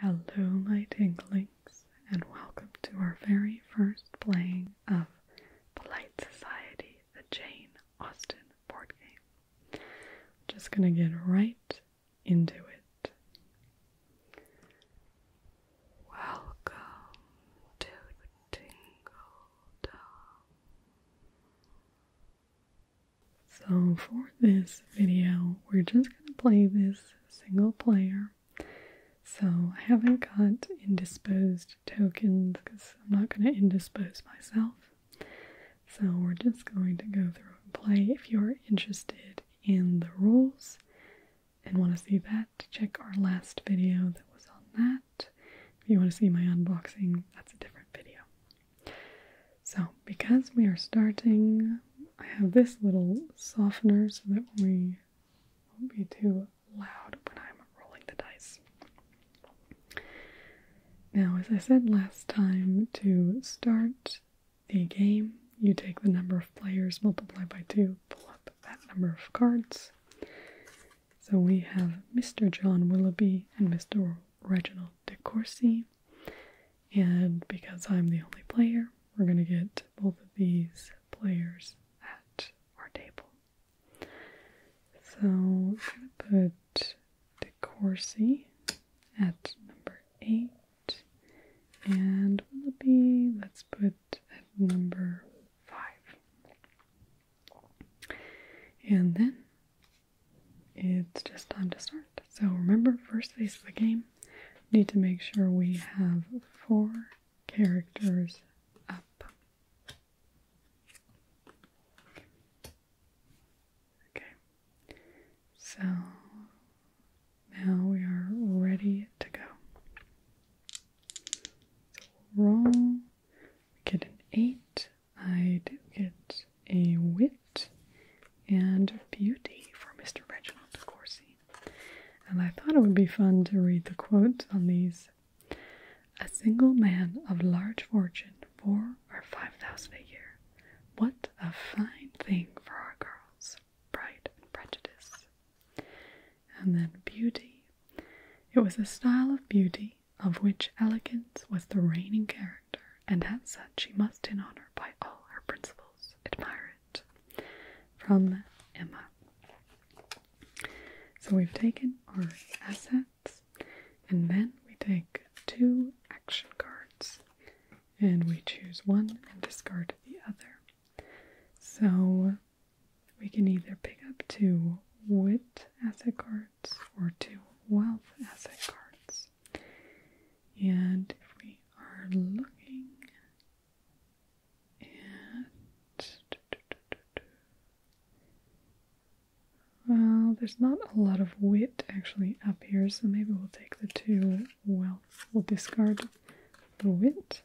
Hello, my tinklings, and welcome to our very first playing of Polite Society, the Jane Austen board game. just going to get right into it. Welcome to Tingle Dumb. So for this video, we're just going to play this single player. So I haven't got indisposed tokens because I'm not going to indispose myself. So we're just going to go through and play. If you're interested in the rules and want to see that, check our last video that was on that. If you want to see my unboxing, that's a different video. So, because we are starting, I have this little softener so that we won't be too loud when I'm rolling the dice. Now, as I said last time, to start the game, you take the number of players, multiply by two, pull up that number of cards. So we have Mr. John Willoughby and Mr. Reginald De Courcy. And because I'm the only player, we're going to get both of these players at our table. So I'm going to put DeCourcy at number 8. And will it be, let's put at number 5. And then it's just time to start. So remember, first phase of the game, need to make sure we have four characters up. Okay, so now we are ready to go. So roll, we get an eight, I do get a wit and beauty for Mr. Reginald De Courcy. And I thought it would be fun to read the quotes on these. A single man of large fortune, four or five thousand a year. What a fine thing for our girls. Pride and prejudice. And then beauty. It was a style of beauty of which elegance was the reigning character and as such she must in honor by all her principles admire it. From Emma. So we've taken our assets and then we take two action cards and we choose one and discard the other. So we can either pick up two wit asset cards or two wealth asset cards. And if we are looking well, there's not a lot of wit actually up here, so maybe we'll take the two wealth. We'll discard the wit,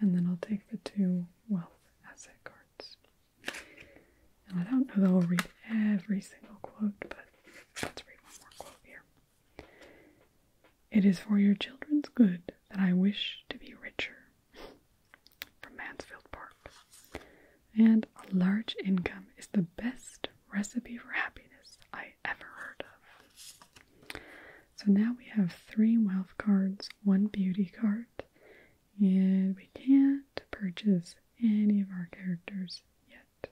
and then I'll take the two wealth asset cards. And I don't know that I'll read every single quote, but let's read one more quote here. It is for your children's good that I wish to be richer. From Mansfield Park. And a large income is the best recipe for happiness I ever heard of. So now we have three wealth cards, one beauty card, and we can't purchase any of our characters yet.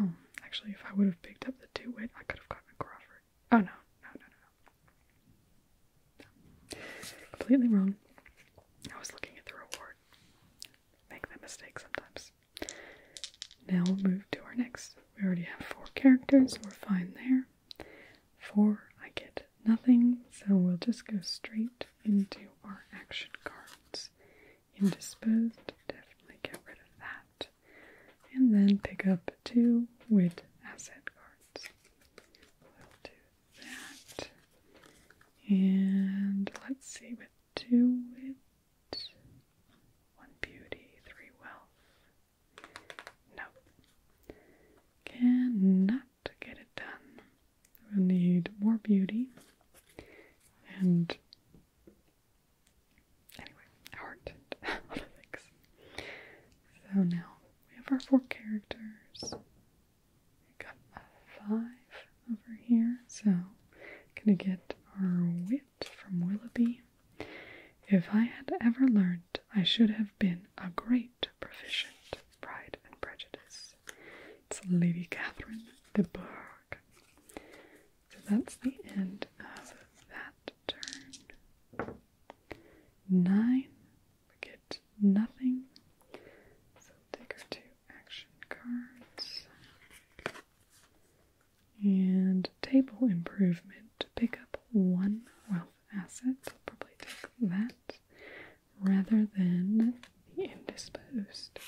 Oh, actually, if I would have picked up the two wit, I could have gotten Crawford. Oh no, no, no, no, no. Completely wrong. I was looking at the reward. Make that mistake sometimes. Now we'll move to our next. We already have four characters, we're fine there. Four, I get nothing, so we'll just go straight into our action cards. Indisposed, definitely get rid of that. And then pick up two with asset cards. We'll that. And let's see, with two wit, one beauty, three wealth. No. Cannot to get it done. we need more beauty and anyway, art and other things. So now we have our four characters. We got a five over here, so gonna get our wit from Willoughby. If I had ever learned I should have been a great quite proficient, Pride and Prejudice. It's Lady Catherine de Bourgh. So that's the end of that turn. Nine, we get nothing. So take our two action cards. And table improvement. Pick up one, well, assets. I'll probably take that rather than the indisposed.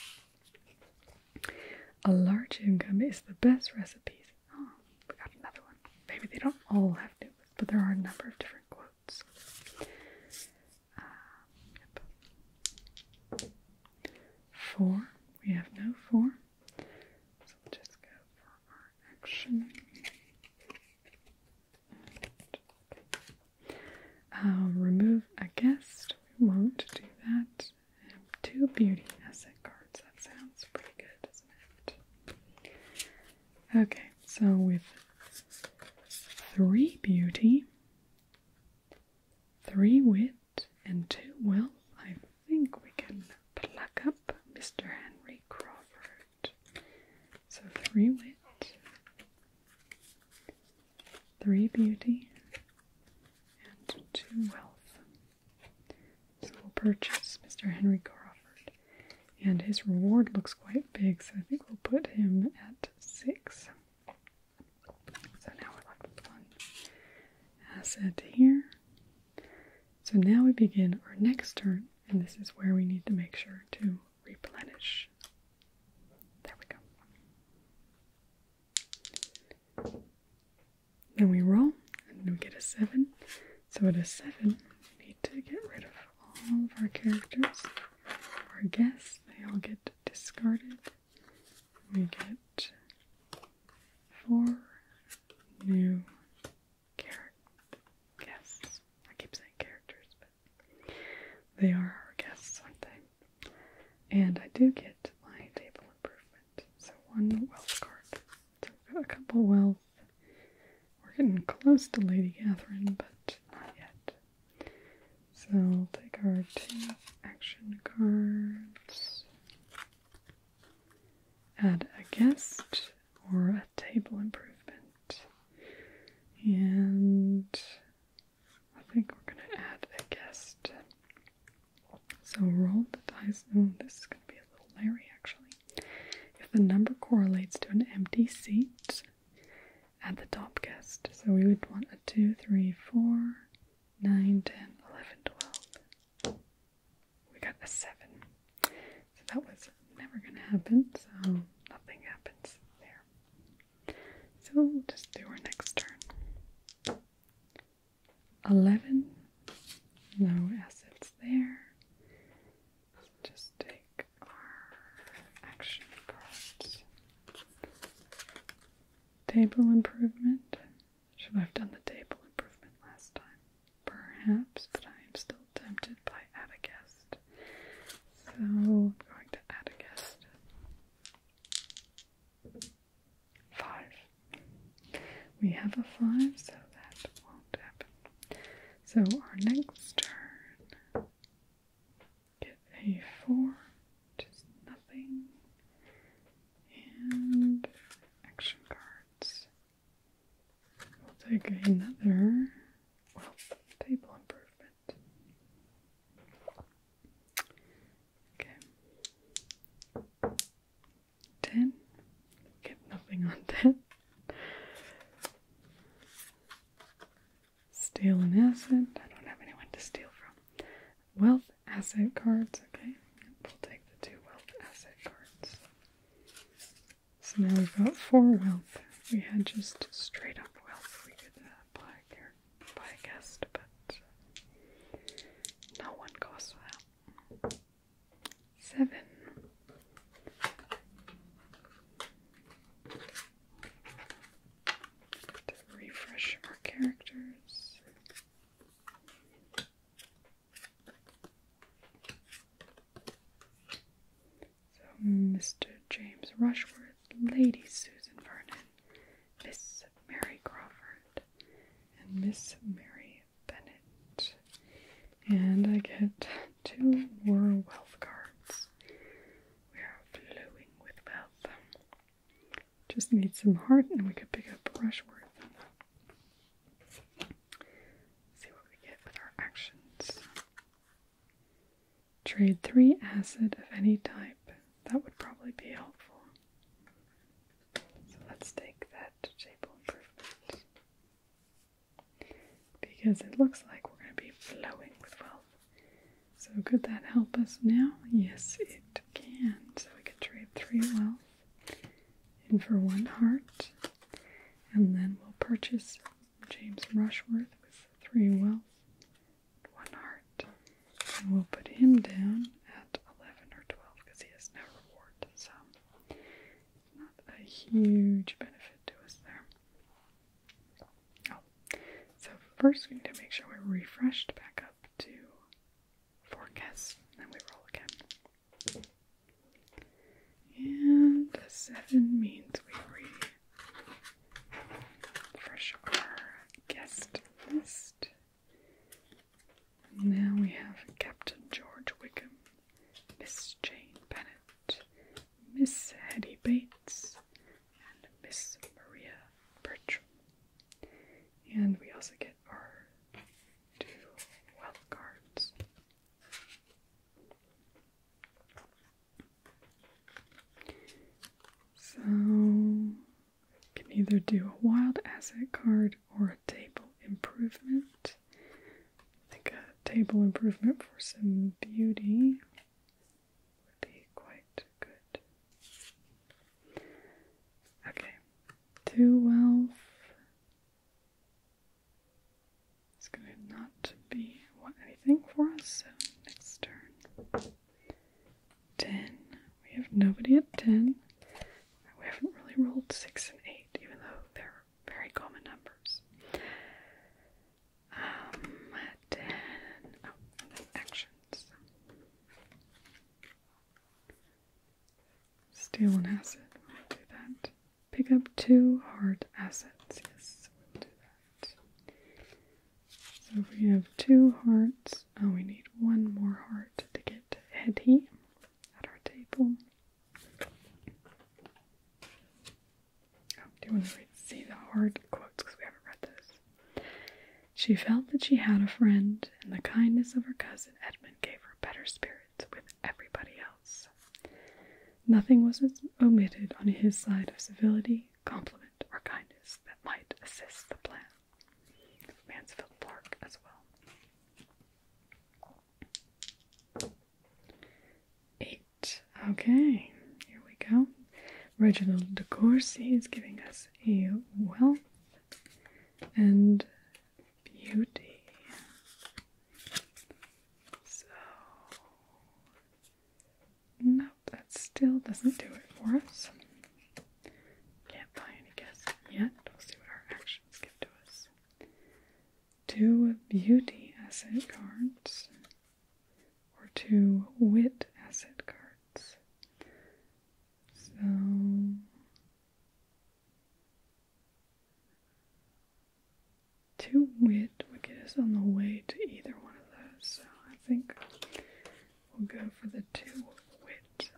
A large income is the best recipe. Oh, we got another one. Maybe they don't all have to, but there are a number of different quotes. Four. We have no four. So just go for our action. Okay. Um, remove a guest. We won't do that. And two beauty asset cards. That sounds pretty good, doesn't it? Okay, so with three beauty, three wit, and two wealth, I think we can pluck up Mr. Henry Crawford. So three wit, three beauty, and two wealth. So we'll purchase Mr. Henry Crawford. And his reward looks quite big, so I think we'll put him at six. So now we're left with one asset here. So now we begin our next turn and this is where we need to make sure to replenish. There we go. Then we roll and we get a 7. So at a 7, we need to get rid of all of our characters, our guests. They all get discarded. We get four new character guests. I keep saying characters, but they are our guests, aren't they? And I do get my table improvement. So one wealth card. So we've got a couple wealth. We're getting close to Lady Catherine, but not yet. So we'll take our two action cards. Add a guest or a table improvement. And I think we're gonna add a guest. So roll the dice. Oh, this is gonna be a little Larry actually. If the number correlates to an empty seat, add the top guest. So we would want a 2, 3, 4, 9, 10, 11, 12 we got a seven. So that was never going to happen, so nothing happens there. So we'll just do our next turn. 11. No assets there. let just take our action cards. Table improvement. Should I have done the table improvement last time? perhaps, but I'm still tempted by Atticus. So I'm going to Atticus. Five. We have a five, so that won't happen. So our next turn, get a four, just nothing, and action cards. We'll take another well, table improvement. Okay. Ten. Get nothing on ten. Steal an asset. I don't have anyone to steal from. Wealth asset cards. Okay, we'll take the two wealth asset cards. So now we've got four wealth. We had just straight up wealth. We could uh, buy a character, buy a guest, but no one goes for that. Seven. To refresh our characters. So, Mr. James Rushworth, Lady Susan Vernon, Miss Mary Crawford, and Miss Mary Bennett. And I get two more wealth cards. We are flowing with wealth. Just need some heart, and we could pick up Rushworth see what we get with our actions. Trade three acid of any type. That would probably be helpful. So let's take that table improvement. Because it looks like we're going to be flowing with wealth. So could that help us now? Yes, it can. So we could trade three wealth in for one heart, and then we'll purchase James Rushworth with three wealth, one heart, and we'll put him down at 11 or 12 because he has no reward, so not a huge benefit to us there. Oh, so first we need to make sure we're refreshed back up to forecast, then we roll again. And the seven means we refresh our guest list. Now we have Captain George Wickham, Miss Jane Bennett, Miss Hetty Bates, and Miss Maria Bertram. And we also get our two wealth cards. So you can either do a wild asset card or a table improvement. I think a table improvement for some beauty would be quite good. Okay, twelve is going to not be want anything for us, so next turn. Ten. We have nobody at ten. We haven't really rolled six and eight, even though they're very common numbers. Um, ten. Oh, and then actions. Steal an asset. do that. Pick up two heart assets. Yes, we'll do that. So if we have two hearts, oh, we need one more heart to get Hetty at our table. Oh, do you want to read, the hard quotes? Because we haven't read those. She felt that she had a friend, and the kindness of her cousin Edmund gave her better spirits with everybody else. Nothing was omitted on his side of civility, compliment, or kindness that might assist the plan Mansfield Park as well. Eight. Okay, here we go. Reginald de Courcy is giving us a wealth and beauty. So, nope, that still doesn't do it for us. Can't buy any guesses yet. We'll see what our actions give to us. Two beauty asset cards, or two wit asset cards. So two wit would get us on the way to either one of those, so I think we'll go for the two wit.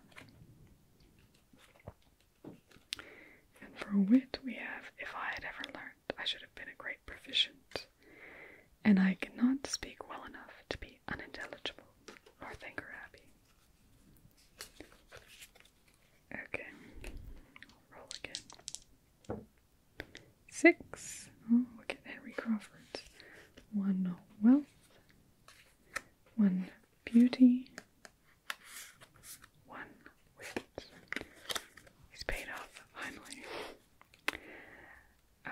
And for wit we have if I had ever learned, I should have been a great proficient, and I cannot speak well enough to be unintelligible. I think we are happy. Okay, roll again. Six. Oh, look at Henry Crawford. One wealth, one beauty, one wit. He's paid off finally.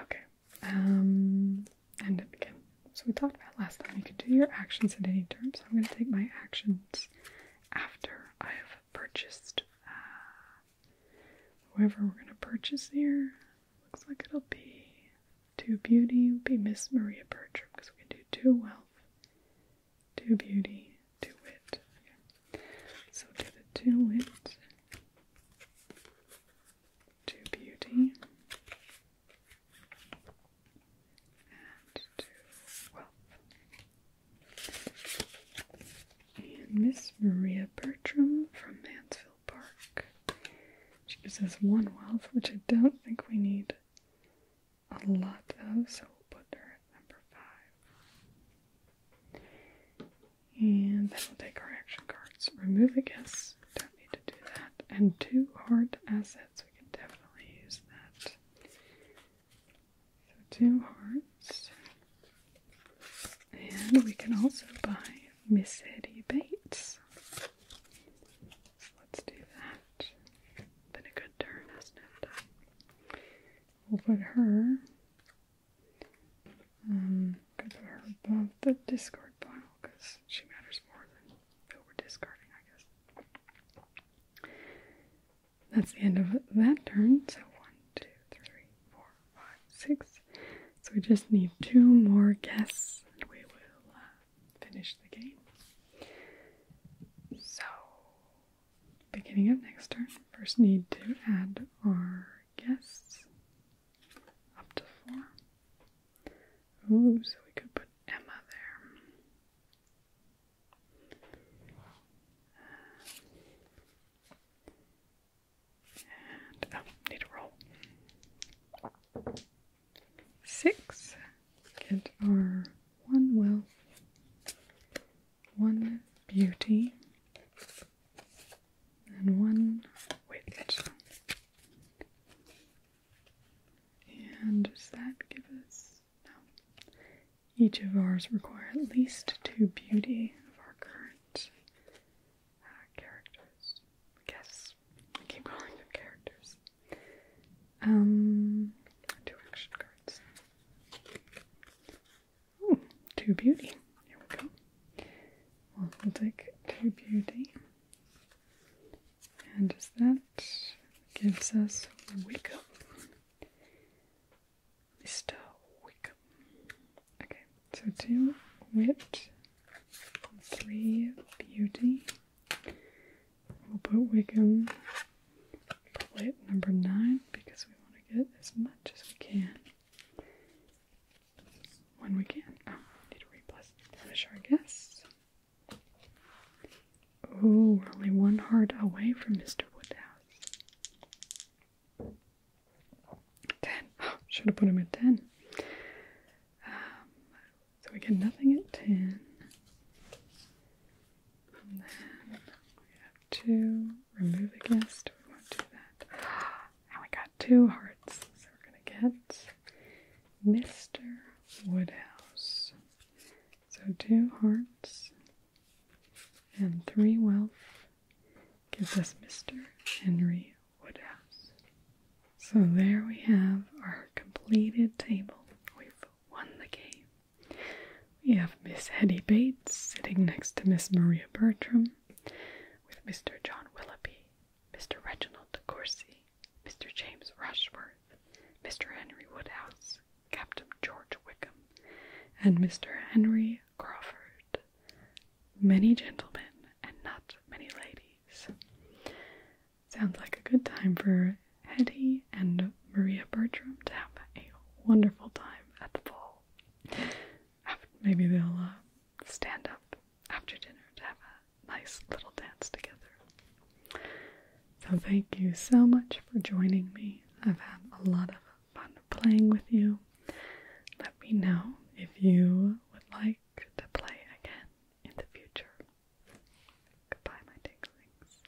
Okay, um, and again, so we talked about last time, you can do your actions at any term. So I'm going to take my actions after I have purchased uh, whoever we're going to purchase here. Looks like it'll be two beauty, will be Miss Maria Bertram because we can do two wealth, two beauty, two wit. So do the two wit to beauty and to wealth. Miss Maria Bertram from Mansfield Park. She gives us one wealth, which I don't think we need a lot of, so we'll put her at number five. And then we'll take our action cards. Remove a guess. Don't need to do that. And two heart assets. We can definitely use that. So two hearts. And we can also buy Miss Eddie Bates. So let's do that. Been a good turn, hasn't it? We'll put her um, above the discard pile because she matters more than we're discarding, I guess. That's the end of that turn. So one, two, three, four, five, six. So we just need two more guests, and we will uh, finish the game. So, beginning of next turn, first need to add our Yes, Up to four. Ooh, so we could put Emma there. And, oh, need a roll. Six. Get our one wealth, one beauty, and one wait, width. And does that give us no? Each of ours require at least two beauty of our current uh, characters. I guess I keep calling them characters. Um, two action cards. Ooh, hmm, two beauty. Here we go. Well, we'll take two beauty. And just that gives us Wickham, Mr. Wickham. Okay, so two wit, three beauty. We'll put Wickham plate number nine because we want to get as much as we can. One we can. Oh, I need to replus replenish our guests. Oh, we only one heart away from Mr. Woodhouse. Ten. should have put him at ten. Um, so we get nothing at ten to remove against, We won't do that. And we got two hearts, so we're gonna get Mr. Woodhouse. So two hearts and three wealth gives us Mr. Henry Woodhouse. So there we have our completed table. We've won the game. We have Miss Hetty Bates sitting next to Miss Maria Bertram, with Mr. John Willoughby, Mr. Reginald De Courcy, Mr. James Rushworth, Mr. Henry Woodhouse, Captain George Wickham, and Mr. Henry Crawford. Many gentlemen and not many ladies. Sounds like a good time for Hetty and Maria Bertram to have a wonderful time at the ball. Maybe they'll uh, stand up after dinner to have a nice little dance together. So, thank you so much for joining me. I've had a lot of fun playing with you. Let me know if you would like to play again in the future. Goodbye, my tinklings.